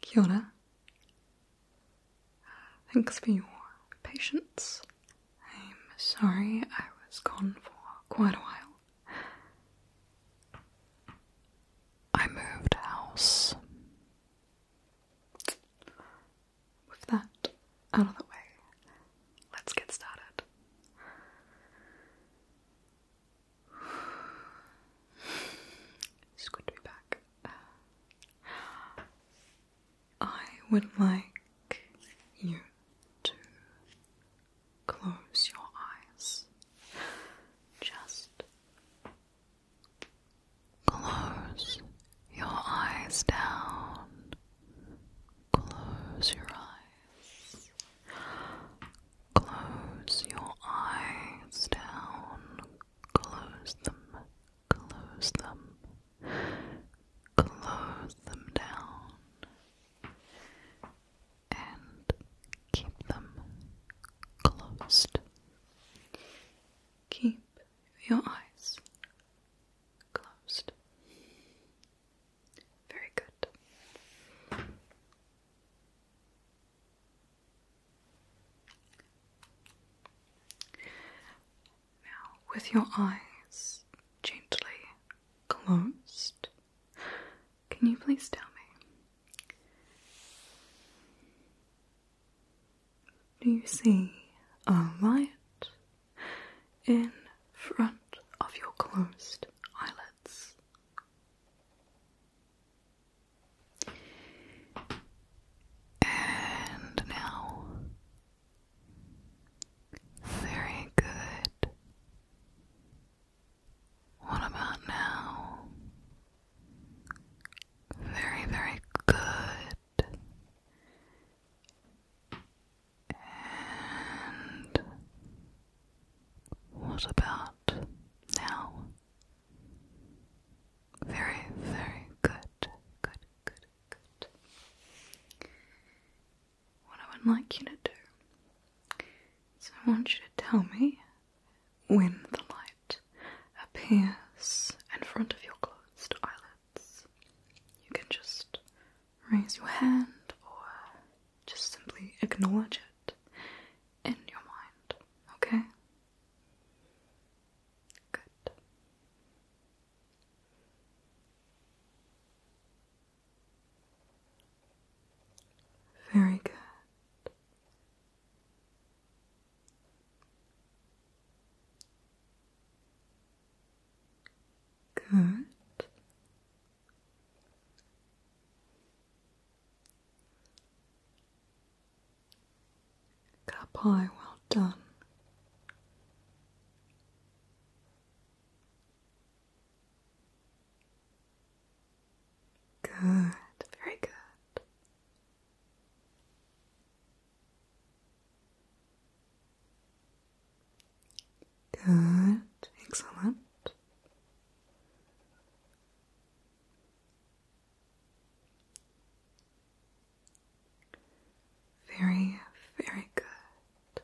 Kia Thanks for your patience. I'm sorry I was gone for quite a while. I moved house. With that out of the way, let's get started. It's good to be back. Uh, I would like you to close your eyes. Just close your eyes down. Close your eyes. Close your eyes down. Close them. Close them. Close them down. And keep them closed. Keep your eyes closed. Very good. Now, with your eyes gently closed, can you please tell me? Do you see a light in front of your closed eyelids. And now, very good. What about now? Very, very good. And what about now? Very, very good, good, good, good. What I would like you to do is I want you to tell me when the light appears in front of your closed eyelids. You can just raise your hand or just simply acknowledge it in your mind, okay? Good. Very good. Good. Cup high, well done. Good, very good. Good, excellent. Very, very good.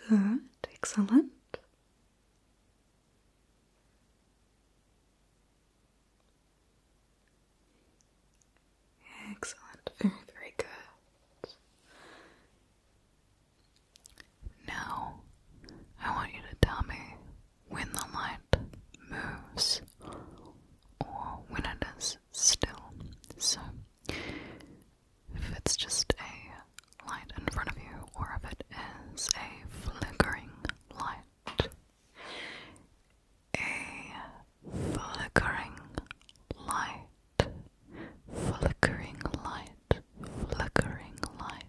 Good, excellent. Excellent, very, very good. Now, I want you to tell me when the light moves or when it is still. So, if it's just a light in front of you or if it is a flickering light, a flickering light, flickering light, flickering light,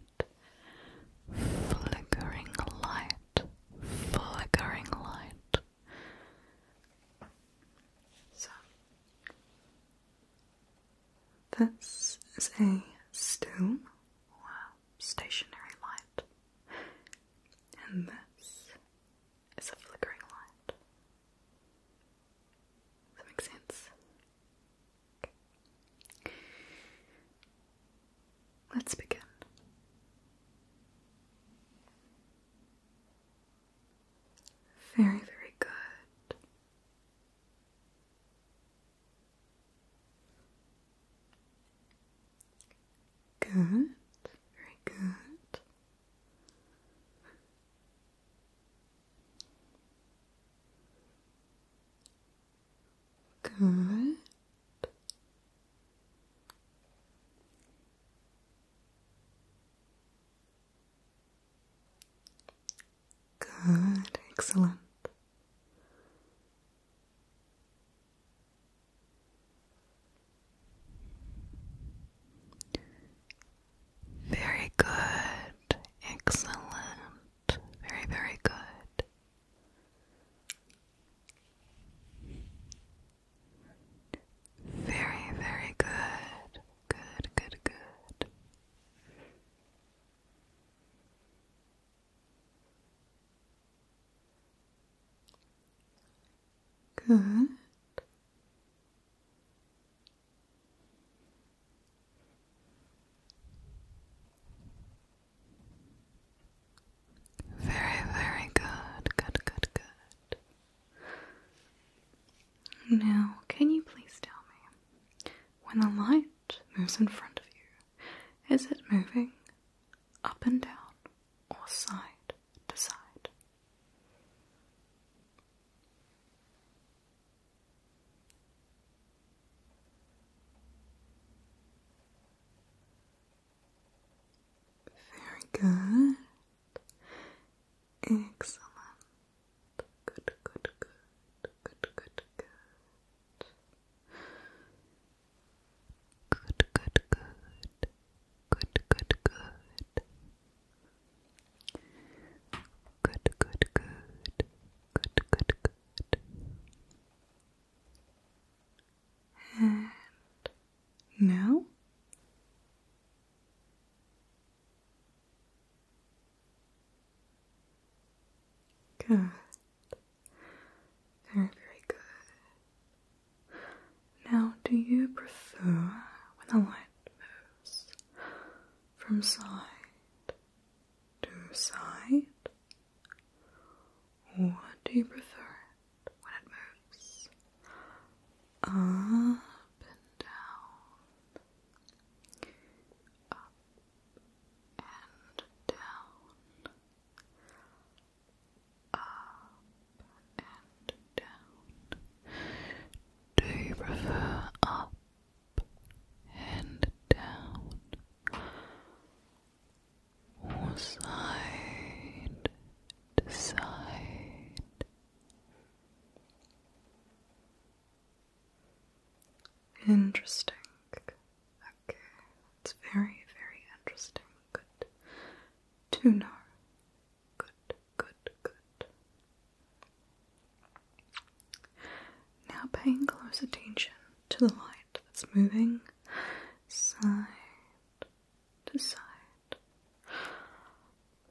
flickering light, flickering light. So, this is a still stationary light, and this it's a flickering light. Does that make sense? Let's begin. Very, very good. Good, very good. Good. Good, excellent. Very good. Excellent. Very, very good. Very, very good. Good, good, good. Good. Very, very good. Good, good, good. Now, can you please tell me when the light moves in front of you, is it moving up and down or side to side. Very good. Excellent. Good, good, good, good, good, good. Good, good, good. Good, good, good. Good, good, good. Good, And now? Good. Very, very good. Now, do you prefer when the light moves from side to side, or do you prefer it when it moves up and down, up and down? up and down. Do you prefer up and down? Or side Interesting. Okay, it's very, very interesting. Good to know. Good, good, good. Now paying close attention to the light that's moving side to side.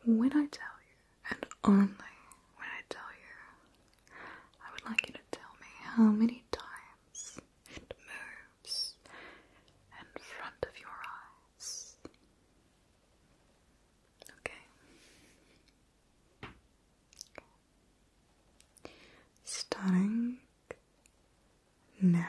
When I tell you, and only when I tell you, I would like you to tell me how many times and moves in front of your eyes. Okay. Starting now.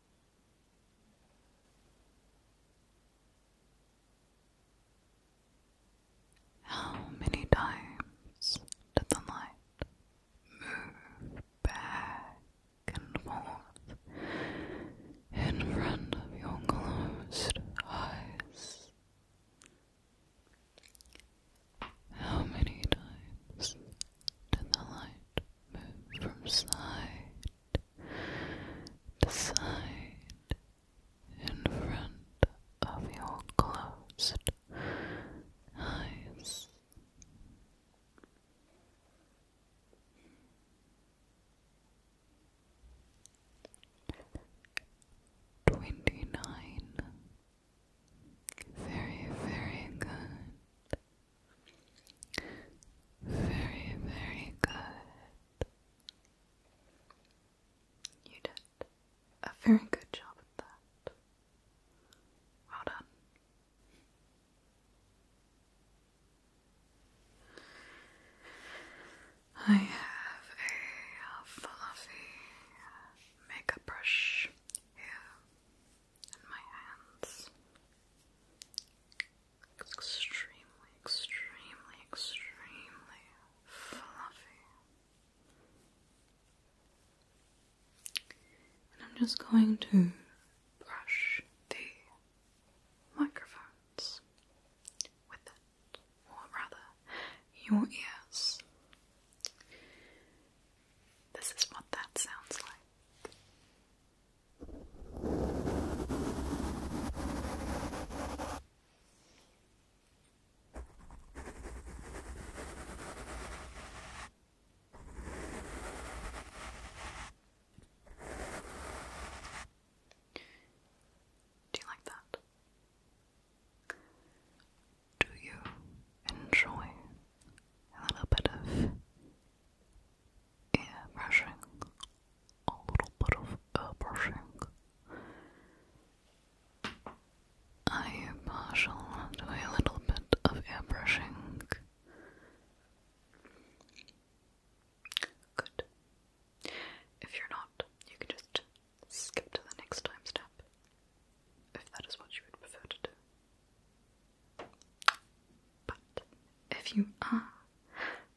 How many times did the light move back and forth in front of your closed eyes? How many times did the light move from side the side in front of your closed eyes. Twenty nine. Very, very good. Very, very good. You did a very good job at that. Well done. I have a fluffy makeup brush here in my hands. It's extremely, extremely, extremely fluffy. And I'm just going to brush the microphones with it, or rather, your ears. This is what that sounds like. Do you like that? Do you enjoy a little bit of ear a little bit of ear uh, brushing. Are partial to a little bit of ear Good. If you're not, you can just skip to the next time step if that is what you would prefer to do. But if you are,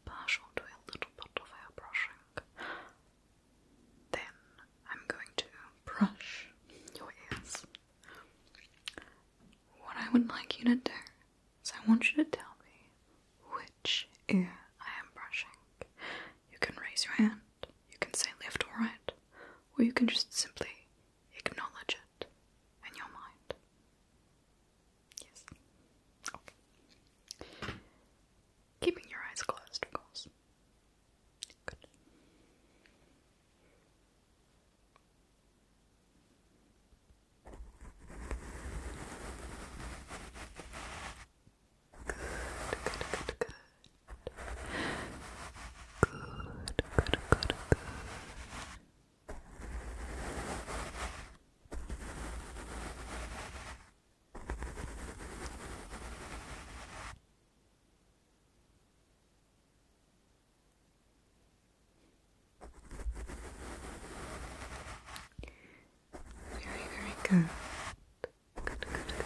partial to a little bit of hair brushing. Then I'm going to brush your ears. What I would like you to do is I want you to tell me which ear I am brushing. You can raise your hand, you can say left or right, or you can just simply acknowledge it in your mind. Yes. Okay. Keeping your eyes closed, of course. Good. Good, good, good, good. Good, good, very, very good. Good, good, good.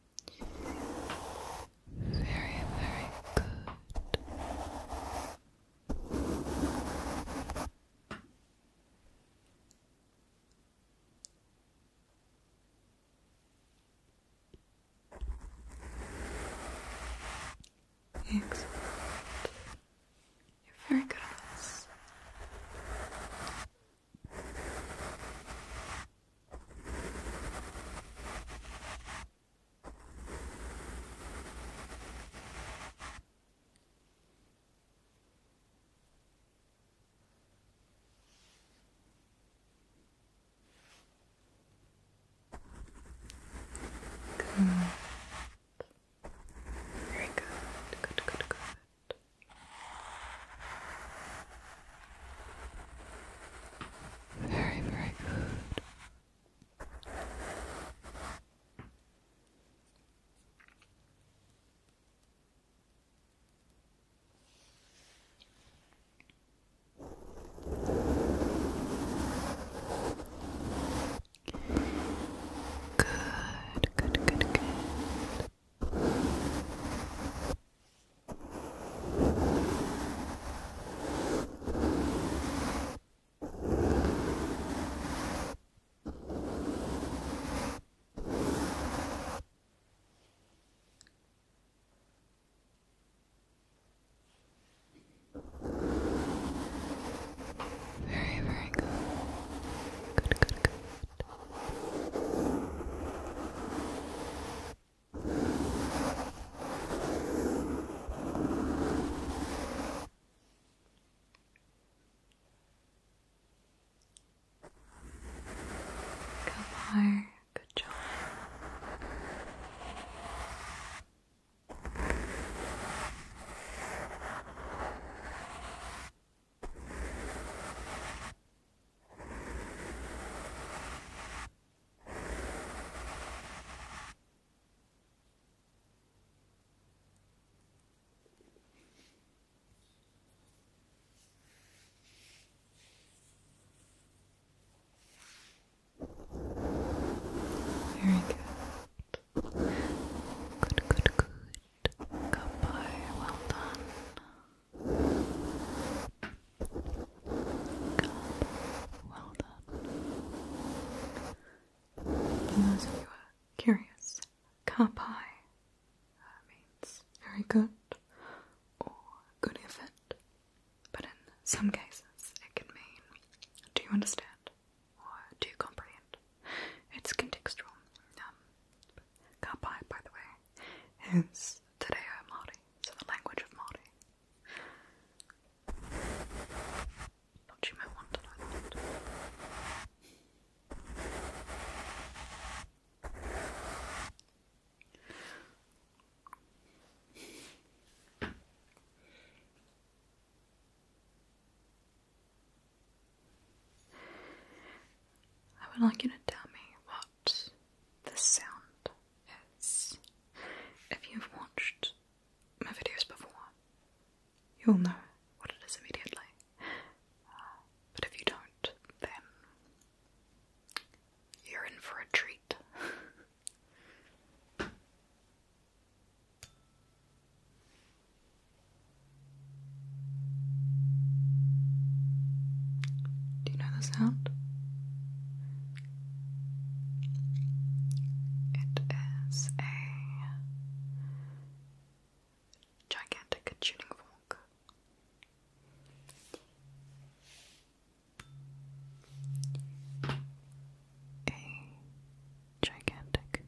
Very, very good. Excellent. You're very good at this. Good. Very good. Good, good, good. Very, very good. Good, good, good, good. Very, very good. Good, good, good. Kumar, good job. Very good. Good, good, good. Goodbye. Well done. Good. Well done. For those you are curious, kapai uh, means very good or good effort, but in some cases it can mean do you understand or do you comprehend? It's contextual. Um, kapai, by the way, is Tadeo Māori, so the language of Mardi. Thought you want to know that. I would like you to tell me what the sound is. If you've watched my videos before, you'll know what it is immediately. Uh, but if you don't, then you're in for a treat. Do you know the sound? It is a gigantic tuning fork. A gigantic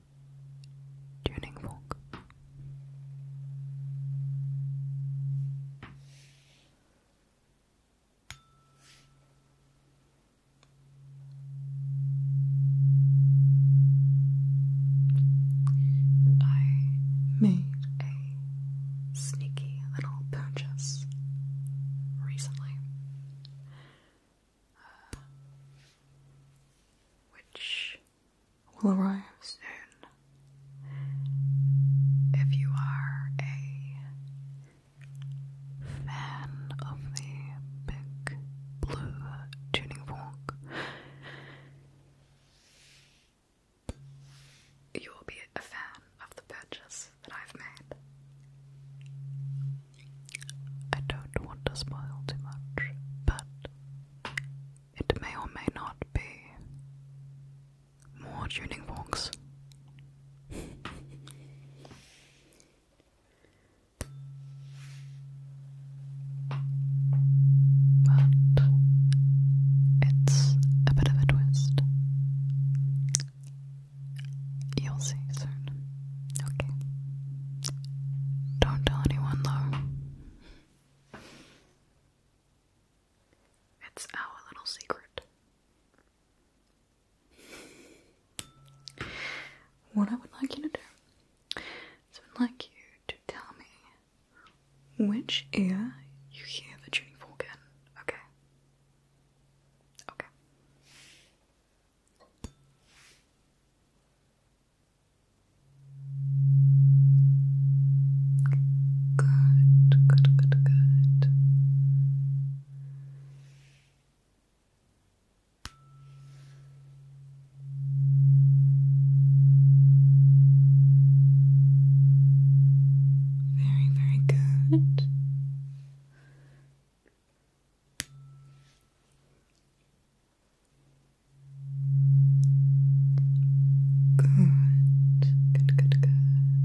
tuning fork. I made a sneaky little purchase recently, uh, which will arrive soon. If you are a fan of the big blue tuning fork, you will be a fan of the purchase that I've made. I don't want to spoil too much, but it may or may not be more tuning forks. but it's a bit of a twist. You'll see soon. Okay. Don't tell anyone though. It's our little secret. What I would like you to do is I would like you to tell me which ear you hear the tuning fork in, okay? Okay. Good, good, good, good. Very, very good. Good, good, good, good.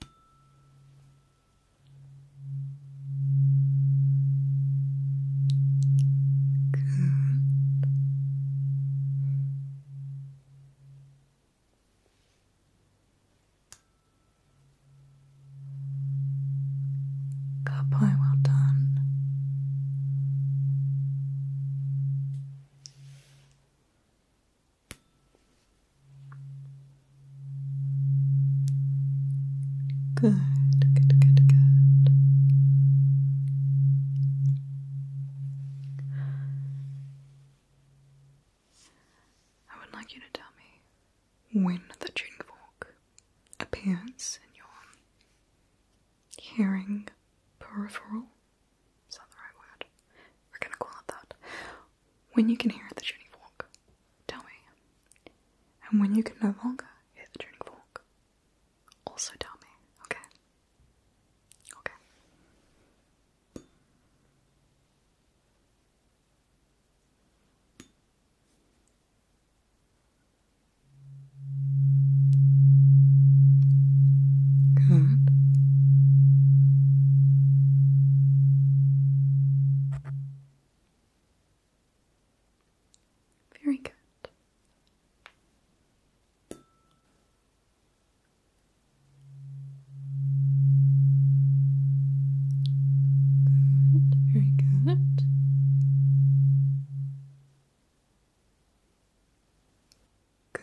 Good. Good boy, well done. Good, good, good, good. I would like you to tell me when the June fork appears in your hearing peripheral is that the right word? We're gonna call it that. When you can hear the tuning fork, tell me. And when you can no longer hear the tuning fork, also tell me, okay? Okay. Good. Very good. Good, very good. Good.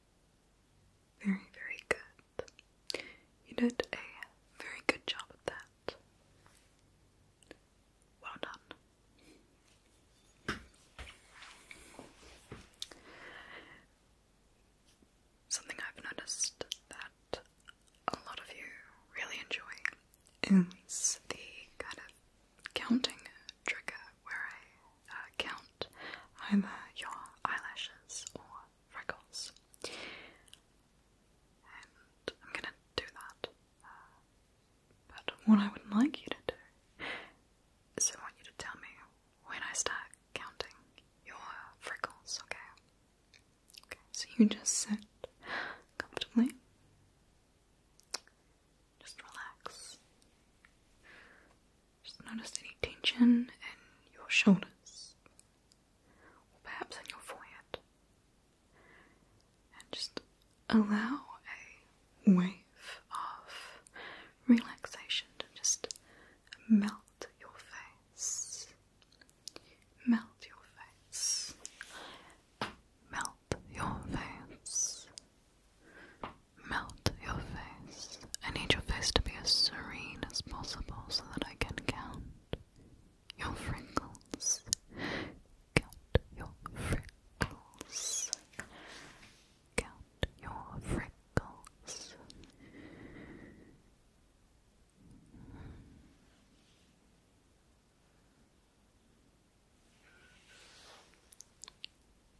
Very, very good. You did a very good job at that. Well done. Something I've noticed that a lot of you really enjoy is the kind of counting trigger where I uh, count either your eyelashes or freckles. And I'm gonna do that. Uh, but what I would like you to do is I want you to tell me when I start counting your freckles, okay? Okay, so you just sit comfortably. Just relax. Just notice any tension in your shoulders or perhaps in your forehead. And just allow a wave of relaxation to just melt your face. Melt your face. Melt your face melt your face. I need your face to be as serene as possible so that I can count your wrinkles. Count your wrinkles. Count your wrinkles.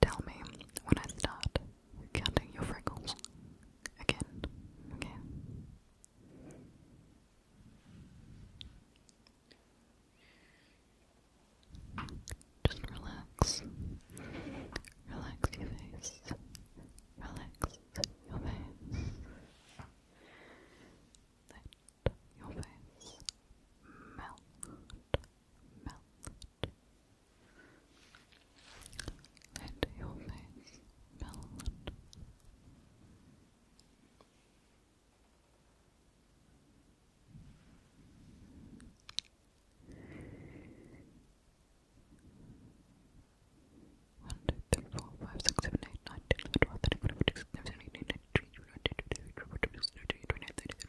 Tell me when I start counting your freckles again, okay? Just relax. Relax your face. Relax your face. Let your face melt melt. Let your face One, two, three, four, five, six, seven, eight, nine, ten, eleven, twelve, thirteen, fourteen, fifteen, sixteen, seventeen, eighteen, nineteen, twenty, twenty-one, twenty-two, twenty-three, twenty-four, twenty-five, twenty-six, twenty-seven, twenty-eight, twenty-nine, thirty,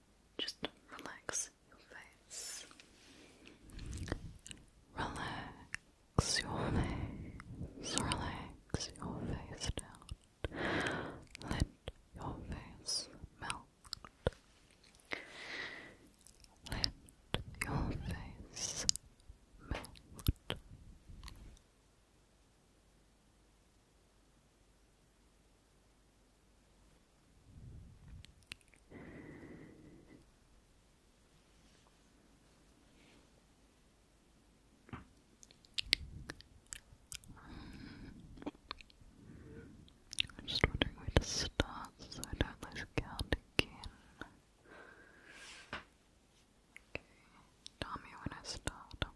Just relax your face. Relax your face. Relax your face down. Let your face melt. Let your face melt. I'm just wondering where to start so I don't lose count again. tell me when I start.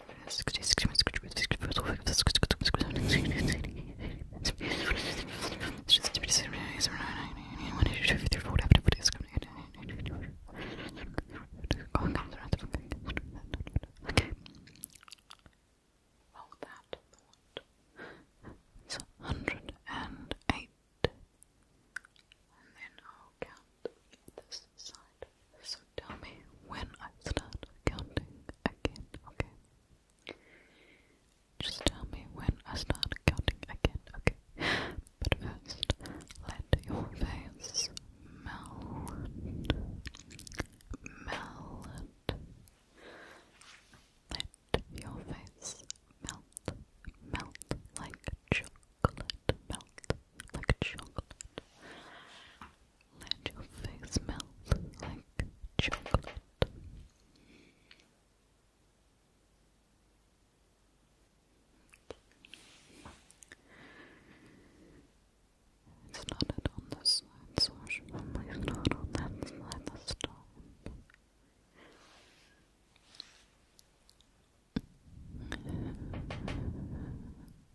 Okay. Well, that it's a hundred and eight. And then I'll count this side, tell me when I start counting again, okay? Just tell me when I start counting again, okay? But first, let your face melt, melt. Let your face melt, melt like chocolate, melt like chocolate. Let your face melt like chocolate. It's not it on this side, so I should on that side this time.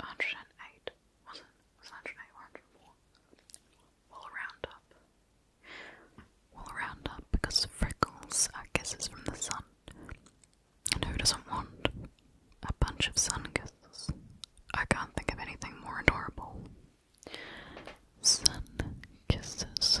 108, was it? Was 108 or 104? We'll round up. We'll round up because freckles, I guess, is from the sun. And who doesn't want a bunch of sun kisses? I can't think of anything more adorable. Sun kisses.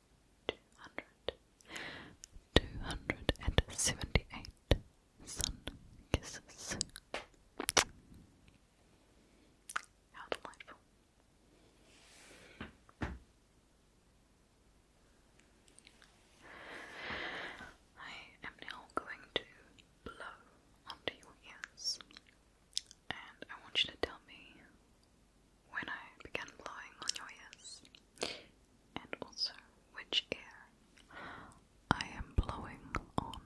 278 sun kisses. How delightful. I am now going to blow onto your ears and I want you to tell me when I began blowing on your ears, and also which ear I am blowing on.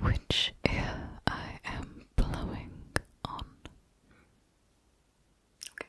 Which ear I am blowing on. Okay. Okay.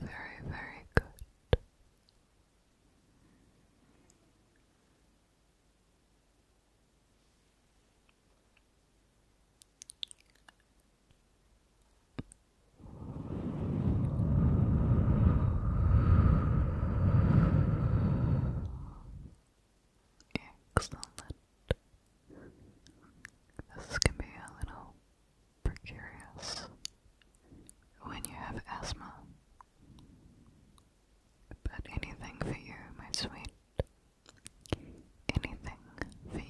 Very, very good. Excellent. This can be a little precarious when you have asthma, but anything for you, my sweet anything for you.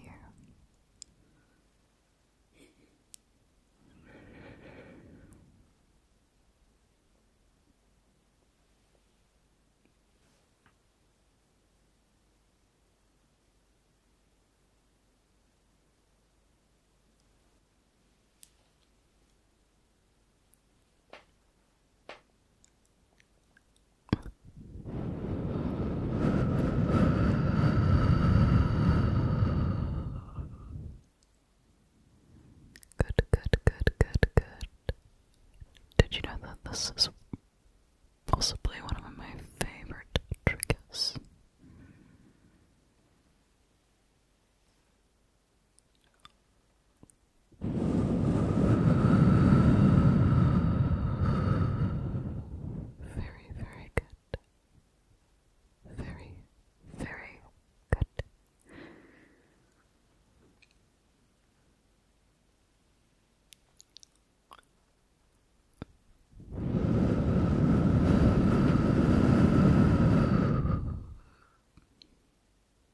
Good, good, good, good, good. Did you know that this is possibly one of my favorite tricks? Very, very good. Very, very good.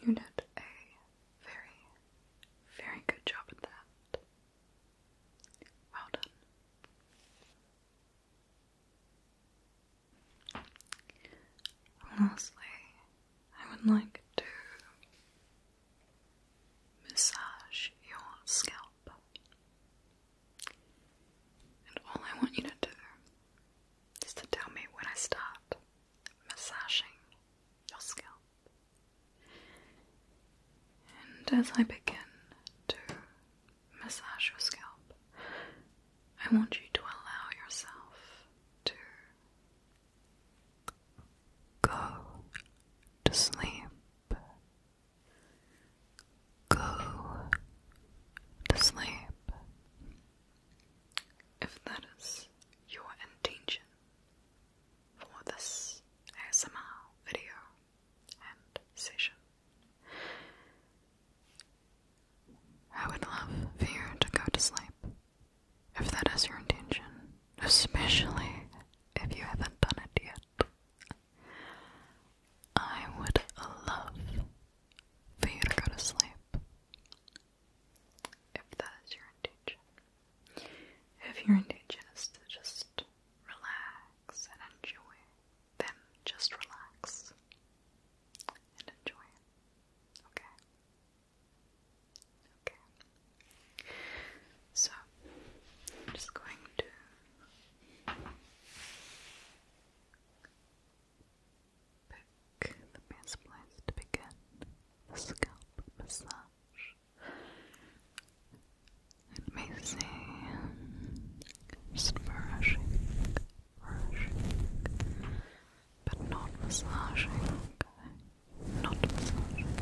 you did a very, very good job at that. Well done. Lastly, I would like to massage your scalp. And all I want you to do is to tell me when I start massaging your scalp. And as I begin to massage your scalp, I want you to allow yourself to go to sleep Go to sleep if that is your intention for this ASMR video and session. I would love for you to go to sleep if that is your intention, especially if you haven't done it yet. I would love for you to go to sleep. If that is your intention. If your intention is to just relax and enjoy, then just relax and enjoy. Okay? Okay. So, I'm just going to Pick the best place to begin the scalp massage. It may seem brushing, brushing, but not massaging, Not massaging.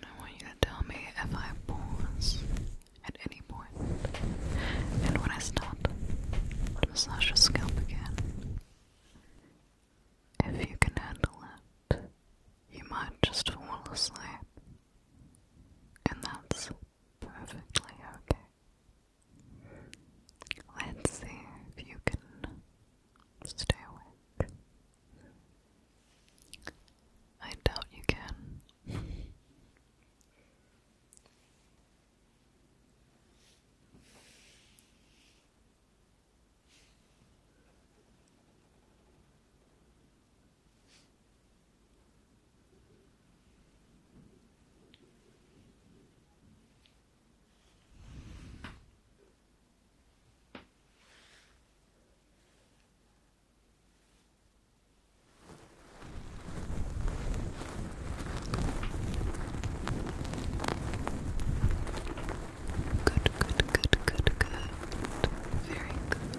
I want you to tell me if I pause at any And when I stop to massage your scalp again, if you can handle it you might just fall asleep, and that's perfectly okay. Let's see if you can stay awake. I doubt you can. Good, good, good, good, good. Very good.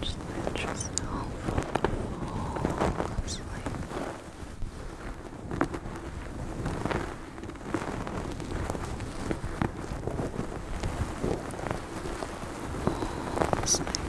Just let yourself fall asleep. Fall asleep. Good.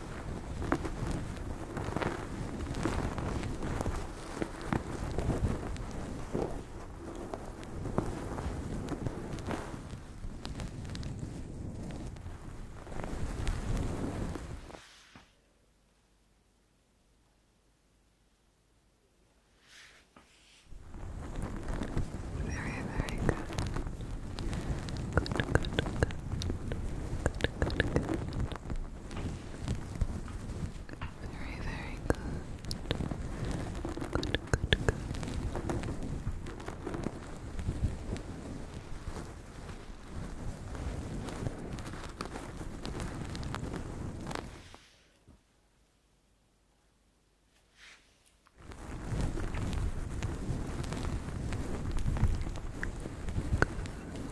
Very, very good. Good, good, good. Good, good, good. Very, very good. Good, good, good.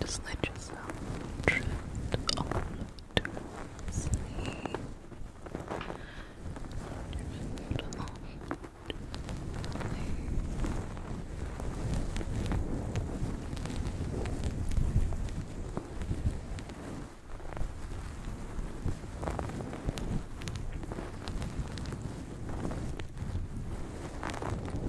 Just let yourself drift off to sleep. Drift on to sleep.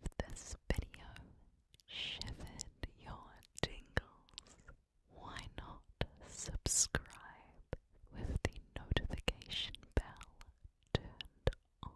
If this video shivered your tingles, why not subscribe with the notification bell turned on?